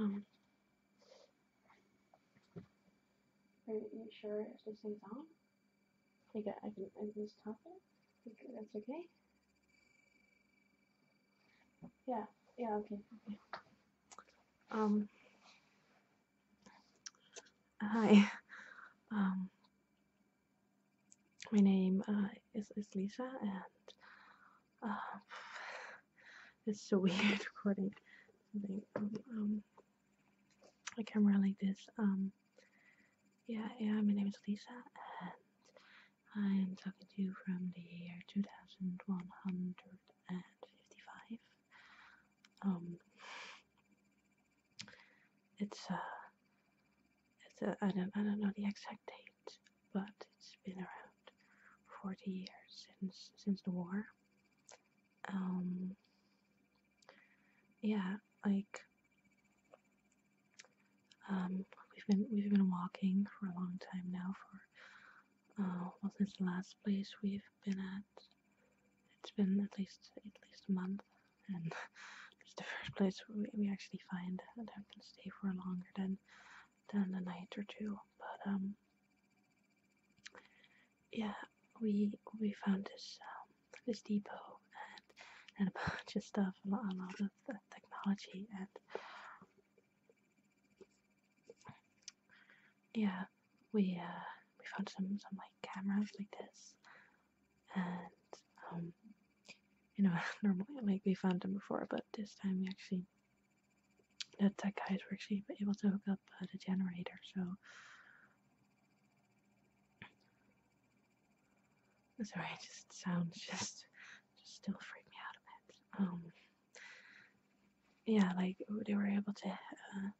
Um, are you sure if this thing's on? I think I, I can just this it. I think that's okay. Yeah, yeah, okay. Um, hi. Um, my name uh, is, is Lisa, and uh, it's so weird recording um, I can't camera like this. Um, yeah, yeah, my name is Lisa, and I'm talking to you from the year 2100 and 55. Um, it's uh, it's a, uh, I don't I don't know the exact date, but it's been around 40 years since since the war. Um, yeah, like um, we've been we've been walking for a long time now for uh, was this last place we've been at. It's been at least at least a month, and it's the first place we, we actually find that I can stay for longer than than a night or two. But um, yeah, we we found this um, this depot and and a bunch of stuff, a lot, a lot of technology and yeah, we uh, we found some some like cameras like this, and um, you know normally like we found them before, but this time we actually the tech guys were actually able to hook up uh, the generator, so. Sorry, just sounds just just still freak me out a bit. Um, yeah, like they were able to uh,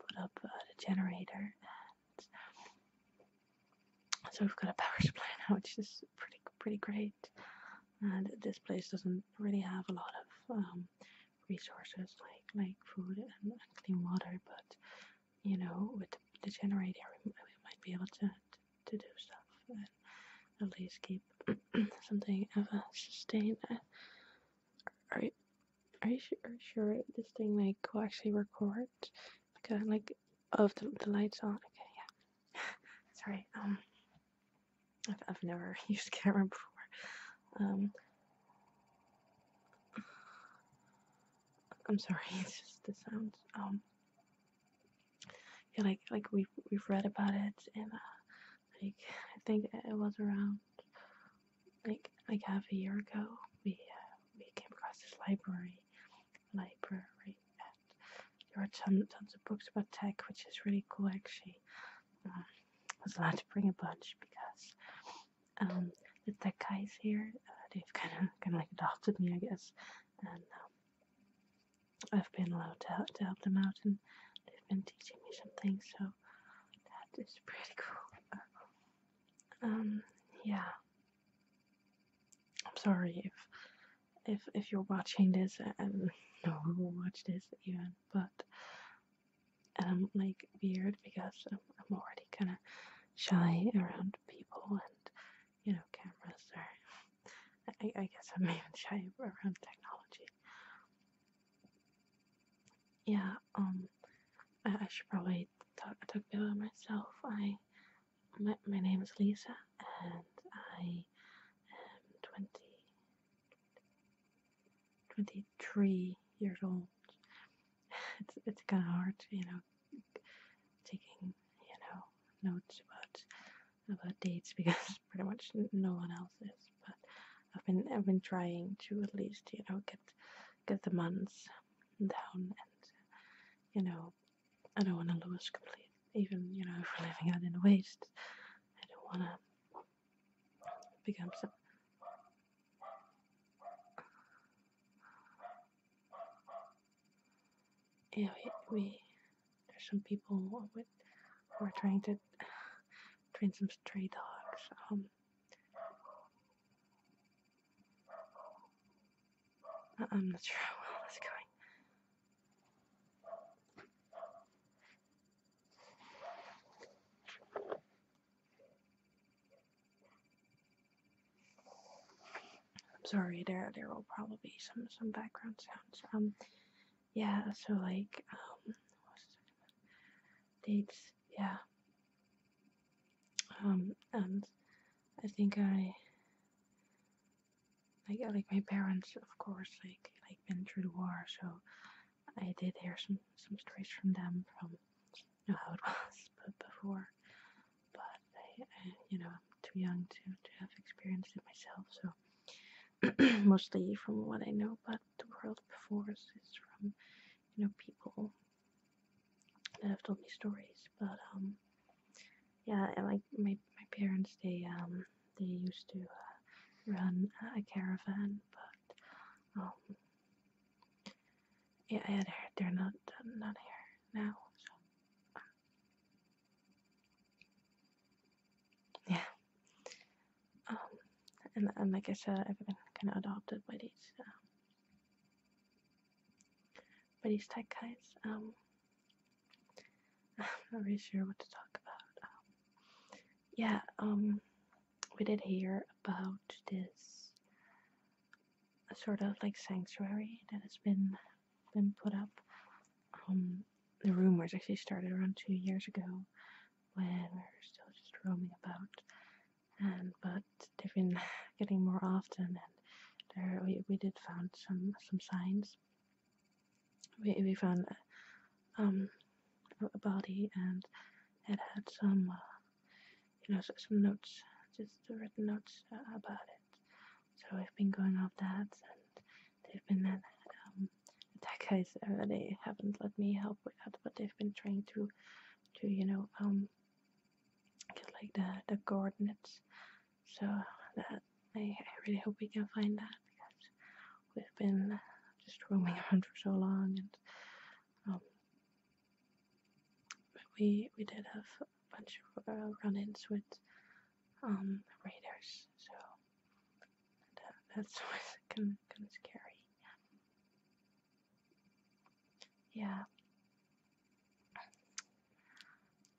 put up uh, the generator, and so we've got a power supply now, which is pretty pretty great. And this place doesn't really have a lot of um, resources like like food and, clean water, but you know, with the, generator, we, might be able to to do stuff and at least keep something of a sustain. Uh, are you, are you, sure, sure this thing like will actually record? Like, like of the, the lights on? Okay, yeah. Sorry. Um, I've, I've never used camera before. Um, I'm sorry. It's just the sounds. Um yeah, like like we've we've read about it and uh, like I think it was around like like half a year ago we uh, we came across this library library and there were ton, tons of books about tech which is really cool actually I was allowed to bring a bunch because um, the tech guys here uh, they've kind of kind of like adopted me I guess and um, I've been allowed to, to help them out and they've been teaching me some things, so that is pretty cool. Um, yeah. I'm sorry if if if you're watching this and no one will watch this even, but and I'm like weird because I'm, I'm already kind of shy around people and you know, cameras or I, guess I'm even shy around technology. Yeah, um, I, should probably talk, talk about myself. I, my, my name is Lisa, and I am 20, 23 years old. It's, it's kind of hard, you know, taking, you know, notes about about dates because pretty much no one else is. But I've been I've been trying to at least you know get get the months down, and you know I don't want to lose complete. Even you know if we're living out in the waste, I don't want to become some we there's some people with who are trying to train some stray dogs. Um, uh-uh, I'm not sure how well it's going. I'm sorry, there there will probably be some some background sounds. Um, yeah. So like um, dates. Yeah. Um, and um, I think I I like like my parents, of course, like like been through the war, so I did hear some some stories from them from you know, how it was but before but I, you know, am too young to, to have experienced it myself, so mostly from what I know about the world before is, is from, you know, people that have told me stories. But um, yeah, I, like my my parents, they um they used to uh, run a caravan, but um, yeah, they're they're not not here now. Yeah. Um, and, and like I said, I've been kind of adopted by these, uh, by these tech guys. Um, I'm not really sure what to talk about. Um, yeah, um, we did hear about this sort of like sanctuary that has been been put up. Um, the rumors actually started around two years ago when we were still just roaming about, and but they've been getting more often, and there we, we did found some some signs. We we found uh, um, a body and it had some uh, you know some notes, just written notes uh, about it. So we've been going off that, and they've been at, um, attack guys. they haven't let me help with that, but they've been trying to, to you know, um, get like the the coordinates. So that I, I really hope we can find that because we've been just roaming around for so long, and um, we we did have a bunch of uh, run-ins with um, raiders, so uh, that's always kind of scary. Yeah.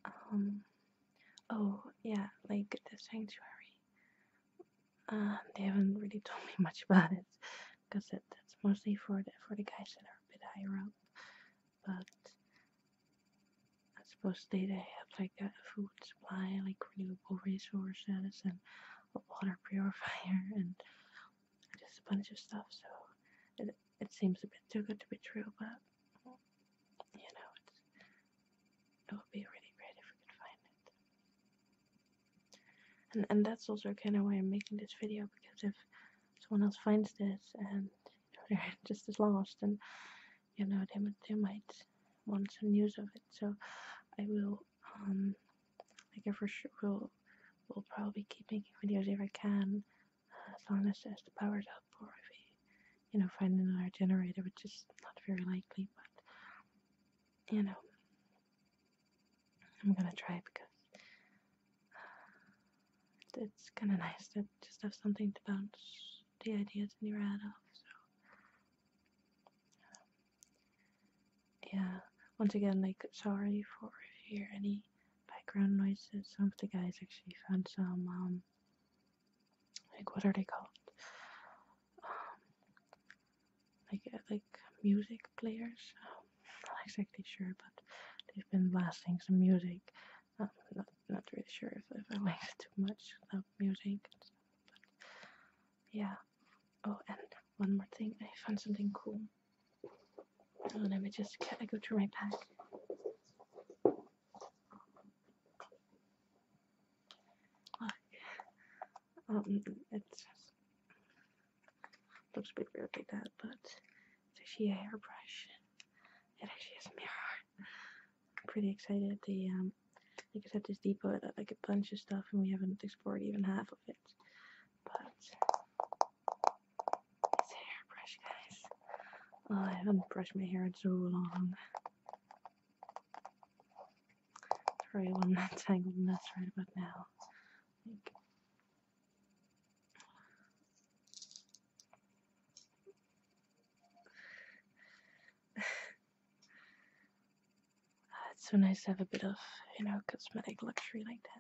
Um. Oh yeah, like the sanctuary. Uh, they haven't really told me much about it because it, that's mostly for the for the guys that are a bit higher up but I suppose they, would have like a food supply, like renewable resources, and a water purifier, and just a bunch of stuff. So it, it seems a bit too good to be true, but you know, it would be really great if we could find it. And and that's also kind of why I'm making this video because if someone else finds this and they're just as lost and you know they, they might want some news of it so i will um like i for sure will probably keep making videos if i can uh, as long as, as the power's up or if we you know find another generator which is not very likely but you know i'm gonna try because it's kind of nice to just have something to bounce the ideas in your head off. So, yeah, once again, like, sorry for if you hear any background noises. Some of the guys actually found some, um, like, what are they called? Um, like, uh, like music players. Um, not exactly sure, but they've been blasting some music. Um, not not really sure if, I like it too much about music, but yeah. Oh, and one more thing, I found something cool. let me just I go through my pack. um, it's Looks a bit weird like that, but it's actually a hairbrush. It actually has a mirror. I'm pretty excited. The um, like I said, this depot like a bunch of stuff, and we haven't explored even half of it. But it's a hairbrush, guys. Oh, I haven't brushed my hair in so long. Sorry, one am not tangled mess right about now. It's so nice to have a bit of, you know, cosmetic luxury like this.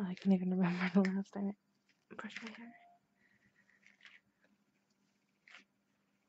I can't even remember the last time I brushed my hair.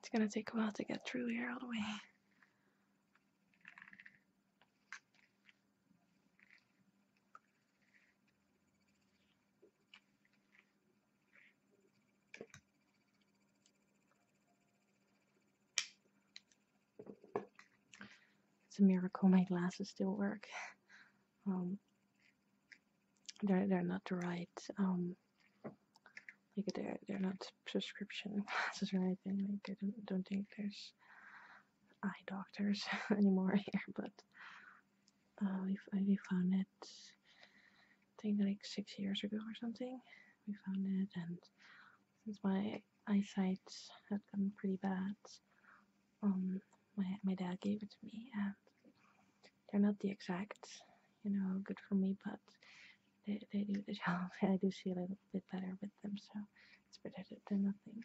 It's gonna take a while to get through here all the way. It's a miracle my glasses still work. Um, they're they're not the right um, like they they're not prescription glasses or anything. Like I don't don't think there's eye doctors anymore here, but uh, we we found it. I think like six years ago or something. We found it and since my eyesight had gotten pretty bad, um, my my dad gave it to me, and they're not the exact, you know, good for me, but they they do the job. I do see a little bit better with them, so it's better than nothing.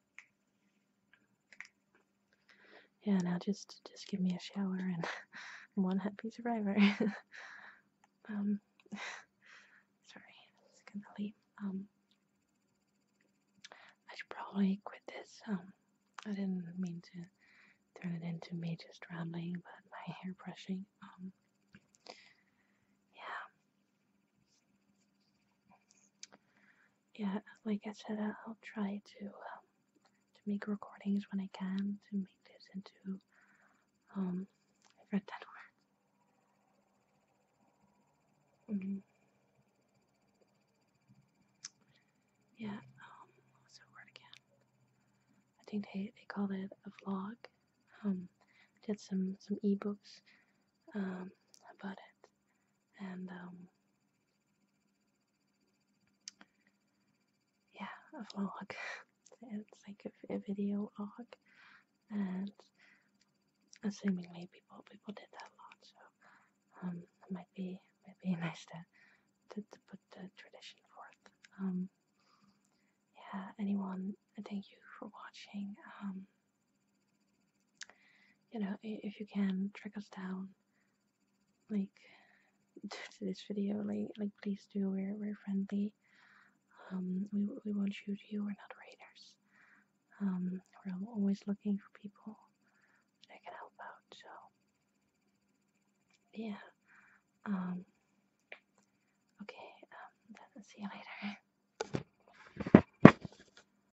Yeah, now just just give me a shower and one happy survivor. um, sorry, just gonna leave. Um, I should probably quit this. Um, I didn't mean to turn it into me just rambling about my hair brushing. Um, yeah yeah, like I said, I'll try to um, to make recordings when I can to make this into. Um, I've read that word. Yeah, um, what's that word again? I think they, they call it a vlog. Um, did some some ebooks um, about it, and um, yeah, a vlog. it's like a, video vlog, and assumingly people people did that a lot, so um, it might be might nice to to, put the tradition forth. Um, yeah, anyone, thank you for watching. Um, you know, if you can track us down, like to this video, like like please do. We're we're friendly. Um, we we won't shoot you. We're not raiders. Um, we're always looking for people that can help out. So yeah. Um, okay. See you later.